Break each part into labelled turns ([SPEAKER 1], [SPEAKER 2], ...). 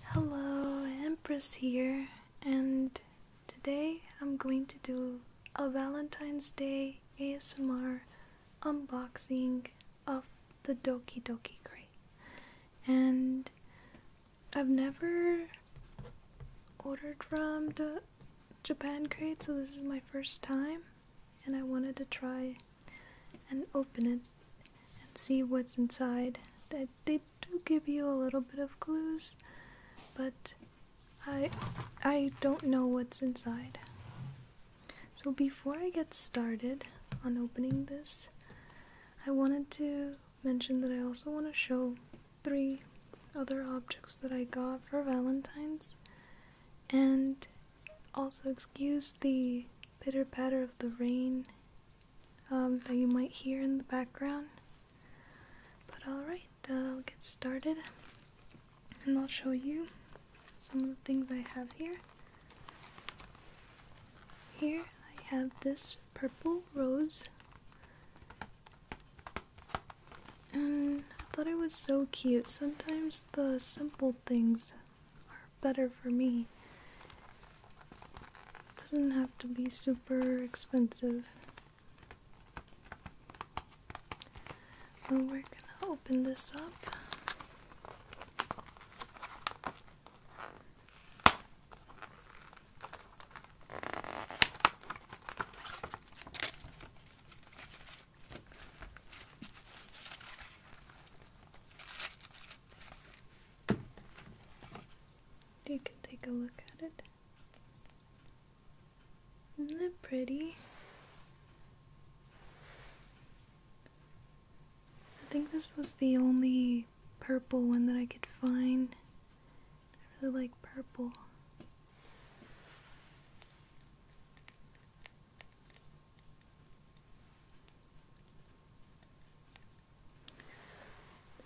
[SPEAKER 1] Hello, Empress here, and today I'm going to do a Valentine's Day ASMR unboxing of the Doki Doki crate. And I've never ordered from the Japan crate, so this is my first time, and I wanted to try and open it and see what's inside. They do give you a little bit of clues, but I I don't know what's inside. So before I get started on opening this, I wanted to mention that I also want to show three other objects that I got for Valentine's and also excuse the pitter patter of the rain um, that you might hear in the background. But alright, I'll get started and I'll show you some of the things I have here. Here I have this purple rose. And I thought it was so cute. Sometimes the simple things are better for me. It doesn't have to be super expensive. But we're going to open this up. You can take a look at it. Isn't it pretty? I think this was the only purple one that I could find. I really like purple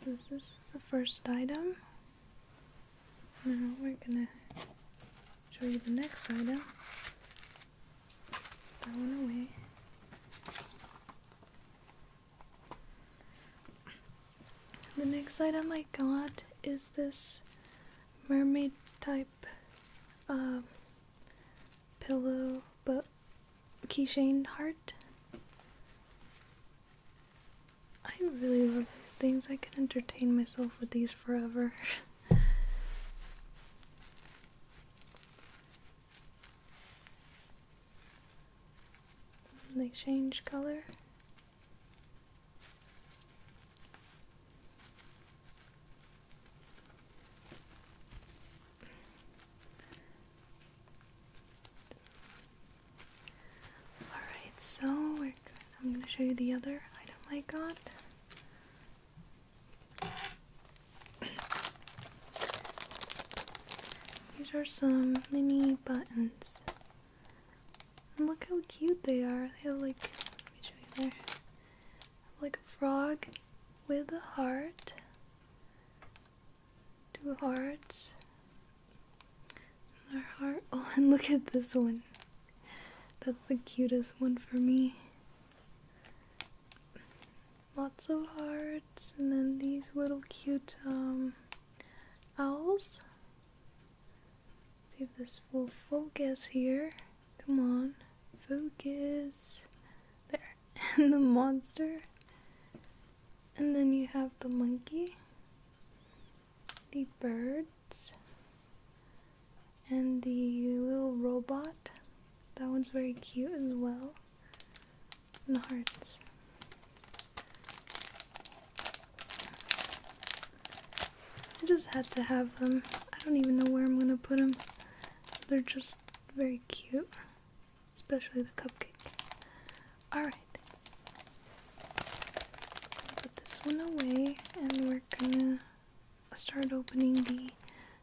[SPEAKER 1] this is the first item. Now we're gonna show you the next item. Put that one away. The next item I got is this mermaid type uh, pillow, but Keyshane Hart. I really love these things. I can entertain myself with these forever. they change color. Alright, so I'm gonna show you the other item I got. These are some mini buttons. And look how cute they are. They have like, let me show you there. Like a frog with a heart two hearts, another heart. Oh, and look at this one. That's the cutest one for me. Lots of hearts, and then these little cute um, owls. See if this will focus here. Come on, focus. There. and the monster. And then you have the monkey, the birds, and the little robot. That one's very cute as well. And the hearts. I just had to have them. I don't even know where I'm gonna put them. They're just very cute especially the cupcake. Alright. Put this one away and we're gonna start opening the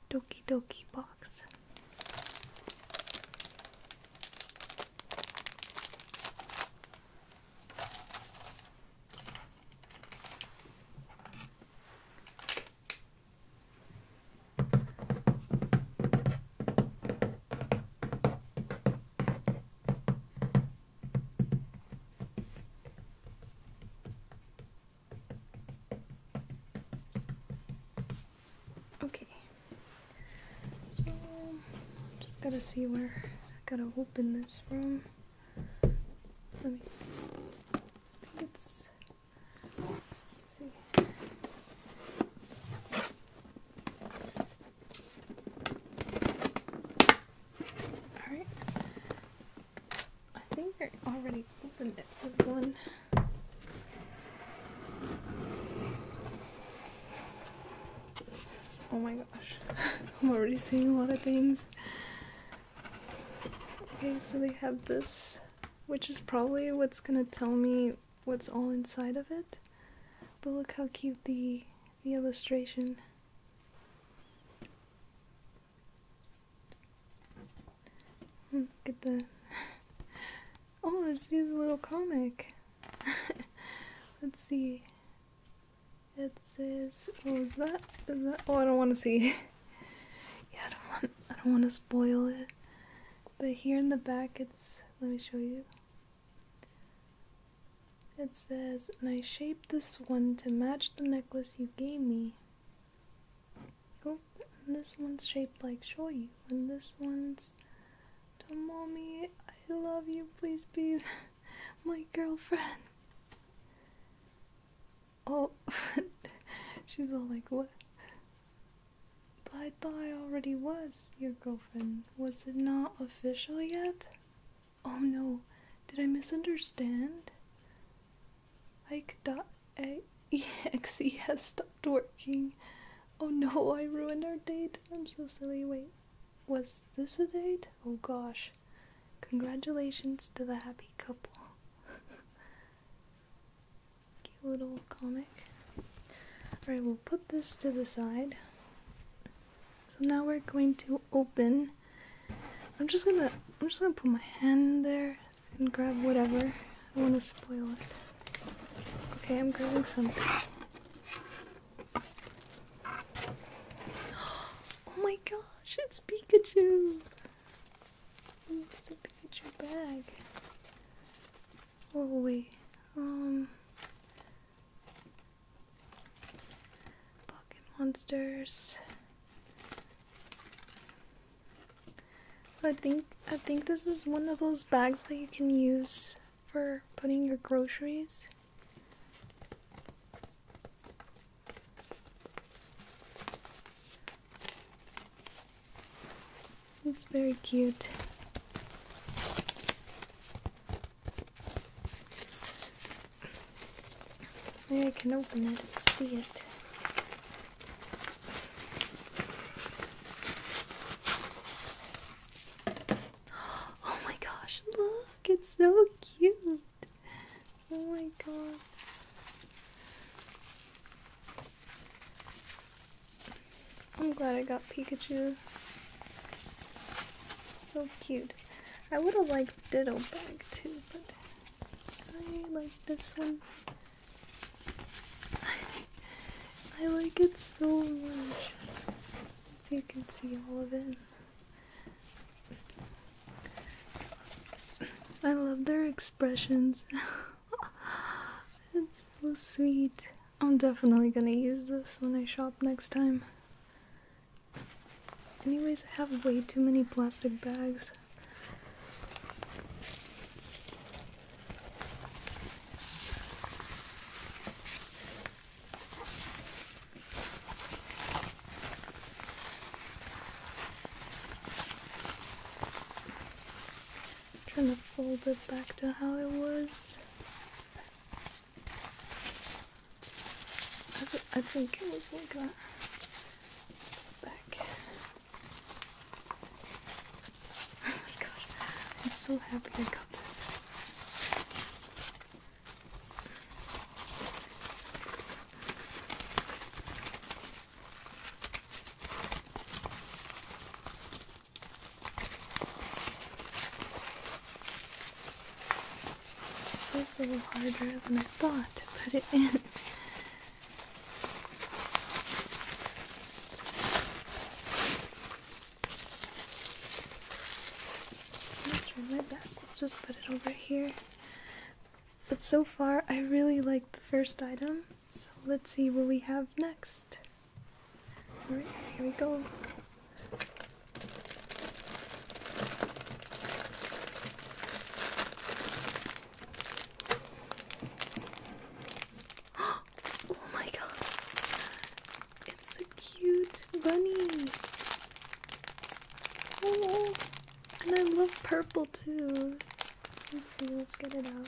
[SPEAKER 1] Doki Doki box. Okay, so just gotta see where I gotta open this room. Let me. Let's see. Alright. I think I already opened it with one. Oh my gosh. I'm already seeing a lot of things. Okay, so they have this, which is probably what's gonna tell me what's all inside of it. But look how cute the the illustration. Look hmm, at the Oh, there's a little comic. Let's see. It says, "What oh, was that? Oh, I don't want to see. yeah, I don't want. I don't want to spoil it. But here in the back, it's. Let me show you. It says, and I shaped this one to match the necklace you gave me. Oh, and this one's shaped like Shoyu, and this one's to mommy, I love you, please be my girlfriend. Oh, she's all like, what? But I thought I already was your girlfriend. Was it not official yet? Oh no, did I misunderstand? Ike.exe has stopped working. Oh no, I ruined our date. I'm so silly. Wait, was this a date? Oh gosh. Congratulations to the happy couple. Cute little comic. Alright, we'll put this to the side. So now we're going to open. I'm just gonna I'm just gonna put my hand there and grab whatever. I wanna spoil it. Okay, I'm grabbing something. Oh my gosh, it's Pikachu! It's a bag. Oh we? Um. Pocket monsters. I think I think this is one of those bags that you can use for putting your groceries. It's very cute. Maybe I can open it and see it. Oh my gosh, look, it's so cute. Oh my god. I'm glad I got Pikachu. It's so cute. I would have liked Ditto bag too, but I like this one. I like it so much. So you can see all of it. I love their expressions. it's so sweet. I'm definitely gonna use this when I shop next time. Anyways, I have way too many plastic bags. I'm trying to fold it back to how it was. I, think it was like that. Back. Oh my gosh, I'm so happy I got this. It is a little harder than I thought to put it in. I'll try my best. I'll just put it over here. But so far, I really like the first item, so let's see what we have next. Alright, here we go. oh my god. It's a cute bunny. Oh, and I love purple too. Let's see, let's get it out.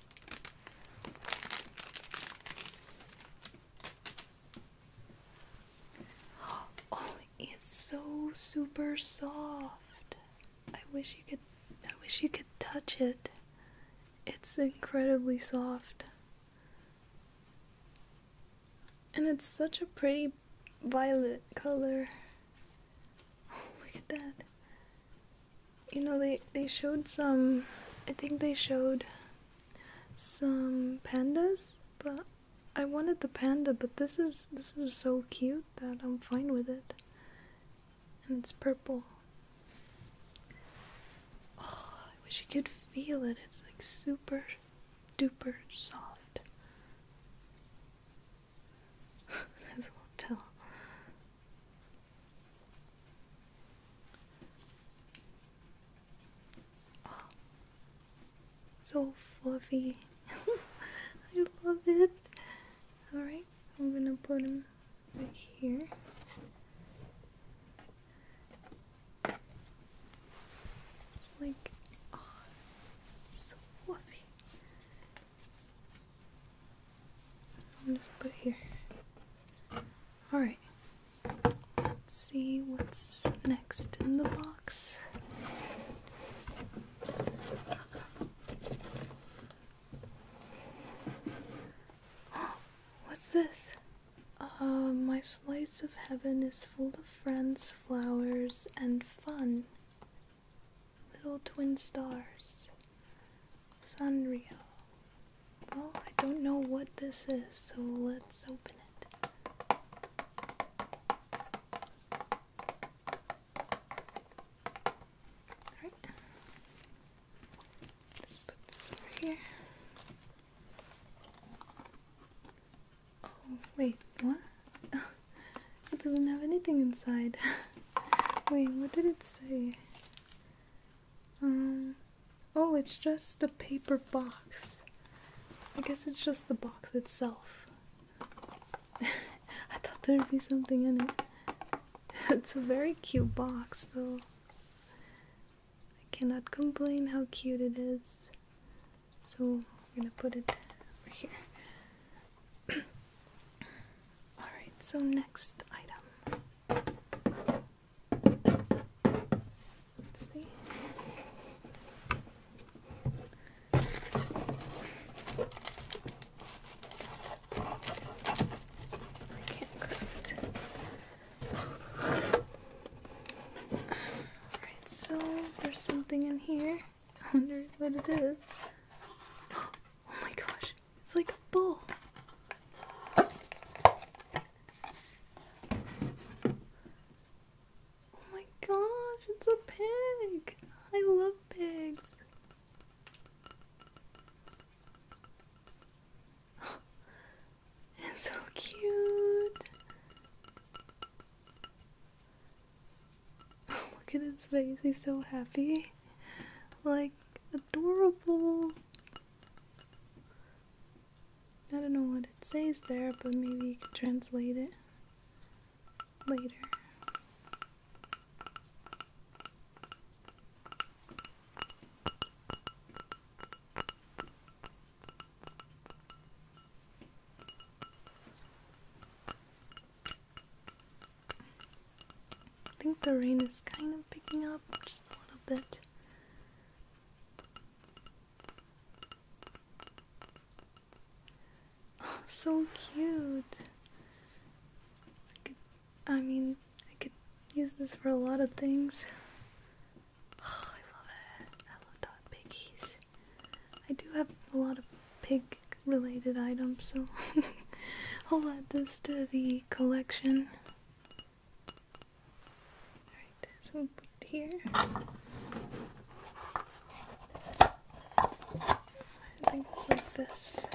[SPEAKER 1] Oh, it's so super soft. I wish you could I wish you could touch it. It's incredibly soft. And it's such a pretty violet color. Oh, look at you know they they showed some I think they showed some pandas, but I wanted the panda, but this is this is so cute that I'm fine with it. And it's purple. Oh, I wish you could feel it. It's like super duper soft. There's a hotel. Oh, so fluffy. I love it. Alright, I'm gonna put him right here. It's like, oh, so fluffy put here. Alright. Let's see what's next in the box. what's this? Uh, my slice of heaven is full of friends, flowers, and fun. Little Twin Stars. Sanrio. Well, I don't know what this is, so let's open it. Alright. Let's put this over here. Oh, wait, what? it doesn't have anything inside. Wait, what did it say? Um, oh, it's just a paper box. I guess it's just the box itself. I thought there'd be something in it. it's a very cute box, though. I cannot complain how cute it is. So, we're gonna put it over here. Alright, so next item. Let's see. I can't craft. Alright, so there's something in here. I wonder what it is. Oh my gosh, it's like a bull. Oh my gosh, it's a pig. I love pigs. It's so cute. look at his face. He's so happy. Like adorable. I don't know what it says there, but maybe you can translate it later. I think the rain is kind of picking up just a little bit. so cute! I, mean, I could use this for a lot of things. Oh, I love it. I love dog piggies. I do have a lot of pig related items, so I'll add this to the collection. Alright, so put here. I think it's like this.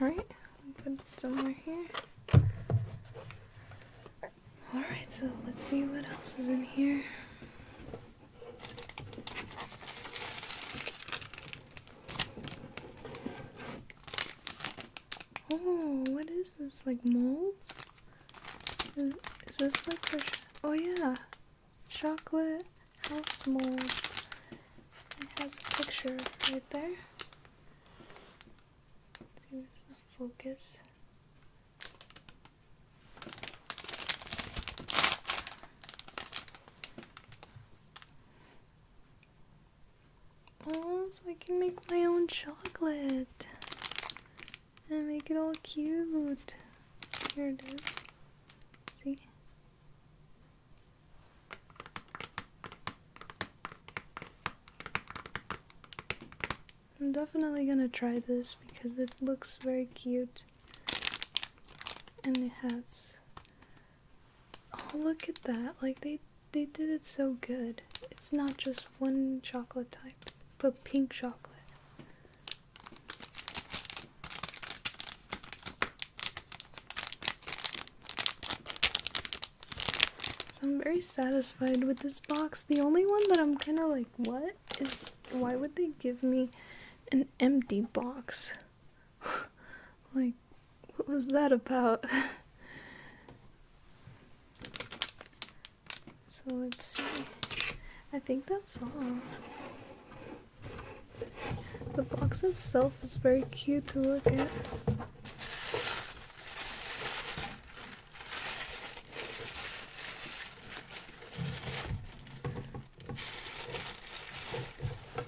[SPEAKER 1] Alright, put it somewhere here. Alright, so let's see what else is in here. Oh, what is this? Like molds? Is, this like Oh, yeah! Chocolate house mold. It has a picture right there. See, it's focus. Oh, so I can make my own chocolate and make it all cute. Here it is. See? I'm definitely gonna try this because it looks very cute and it has oh look at that like they they did it so good it's not just one chocolate type but pink chocolate so I'm very satisfied with this box. The only one that I'm kind of like, what is why would they give me an empty box? like, what was that about? so let's see. I think that's all. The box itself is very cute to look at.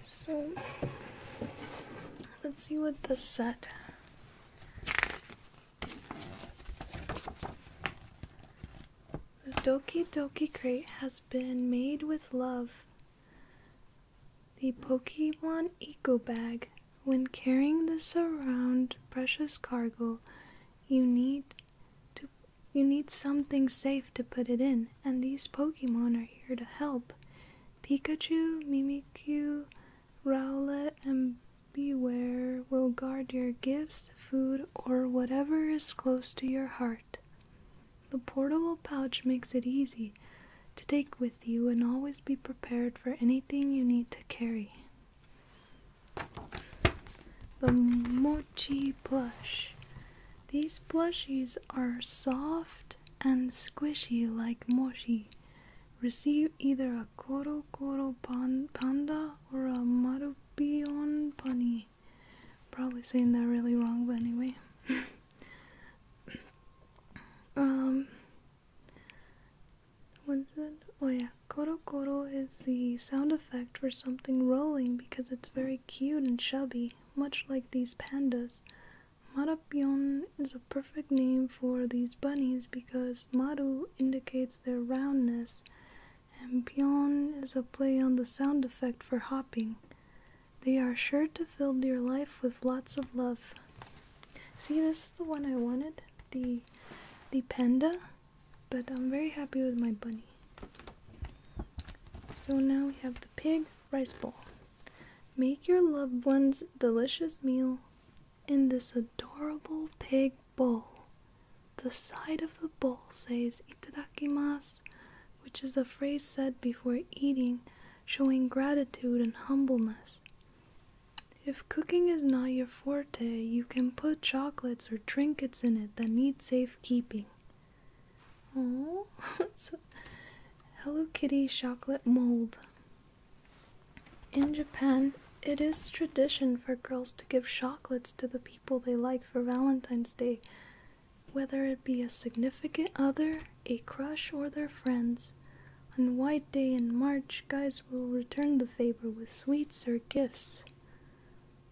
[SPEAKER 1] So let's see what this set this Doki Doki crate has been made with love the Pokemon Eco Bag. When carrying this around precious cargo, you need to you need something safe to put it in, and these Pokemon are here to help. Pikachu, Mimikyu, Rowlet, and Beware will guard your gifts, food, or whatever is close to your heart. The portable pouch makes it easy to take with you and always be prepared for anything you need to carry. The Mochi Plush. These plushies are soft and squishy like mochi. Receive either a Koro Koro Panda or a Marupion Pani. Probably saying that really wrong, but anyway. um, oh yeah, koro koro is the sound effect for something rolling because it's very cute and chubby, much like these pandas. Marapion is a perfect name for these bunnies because maru indicates their roundness, and pion is a play on the sound effect for hopping. They are sure to fill your life with lots of love. See, this is the one I wanted, the the panda, but I'm very happy with my bunny. So now we have the pig rice bowl. Make your loved one's delicious meal in this adorable pig bowl. The side of the bowl says itadakimasu, which is a phrase said before eating, showing gratitude and humbleness. If cooking is not your forte, you can put chocolates or trinkets in it that need safekeeping. Oh, so Hello Kitty chocolate mold. In Japan, it is tradition for girls to give chocolates to the people they like for Valentine's Day, whether it be a significant other, a crush, or their friends. On White Day in March, guys will return the favor with sweets or gifts.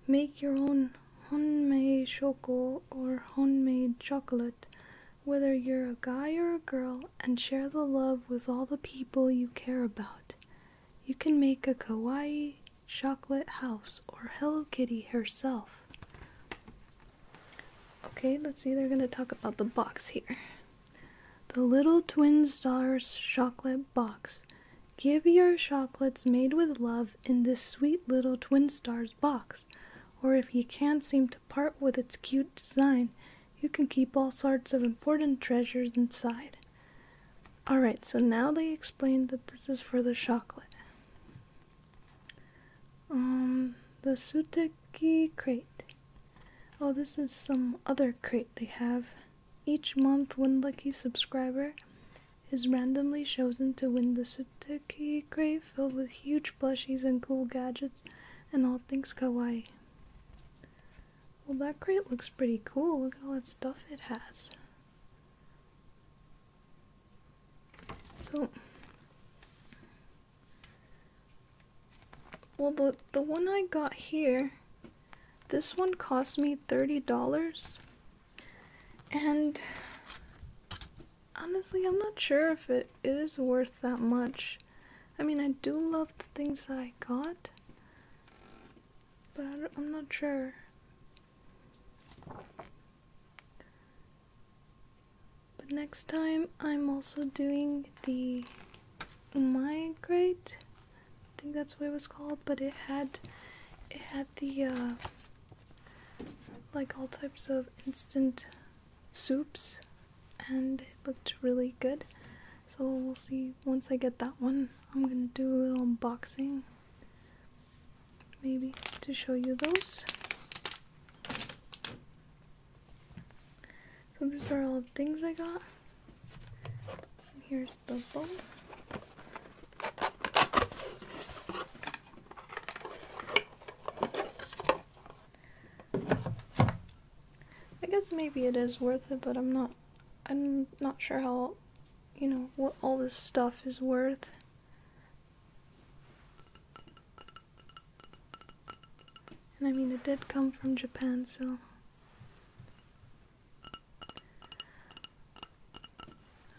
[SPEAKER 1] Make your own honmei shoko or homemade chocolate, whether you're a guy or a girl, and share the love with all the people you care about. You can make a kawaii chocolate house or Hello Kitty herself. Okay, let's see, they're going to talk about the box here. The Little Twin Stars Chocolate Box. Give your chocolates made with love in this sweet little Twin Stars box. Or if you can't seem to part with its cute design, you can keep all sorts of important treasures inside. Alright, so now they explained that this is for the chocolate. Um, the Suteki crate. Oh, this is some other crate they have. Each month, one lucky subscriber is randomly chosen to win the Sipteki crate filled with huge plushies and cool gadgets and all things kawaii. Well, that crate looks pretty cool. Look at all that stuff it has. So, well, the, the one I got here, this one cost me $30. And honestly, I'm not sure if it is worth that much. I mean, I do love the things that I got, but I am not sure. But next time, I'm also doing the migrate i think that's what it was called but it had it had the uh, like all types of instant soups and it looked really good so we'll see once i get that one i'm gonna do a little unboxing maybe to show you those so these are all the things I got. And here's the bowl. I guess maybe it is worth it, but I'm not I'm not sure how you know what all this stuff is worth. And I mean, it did come from Japan, so.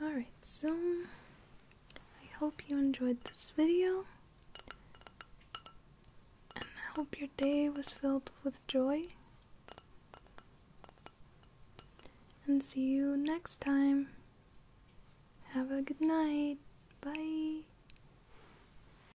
[SPEAKER 1] Alright, so I hope you enjoyed this video. And I hope your day was filled with joy. And see you next time. Have a good night. Bye.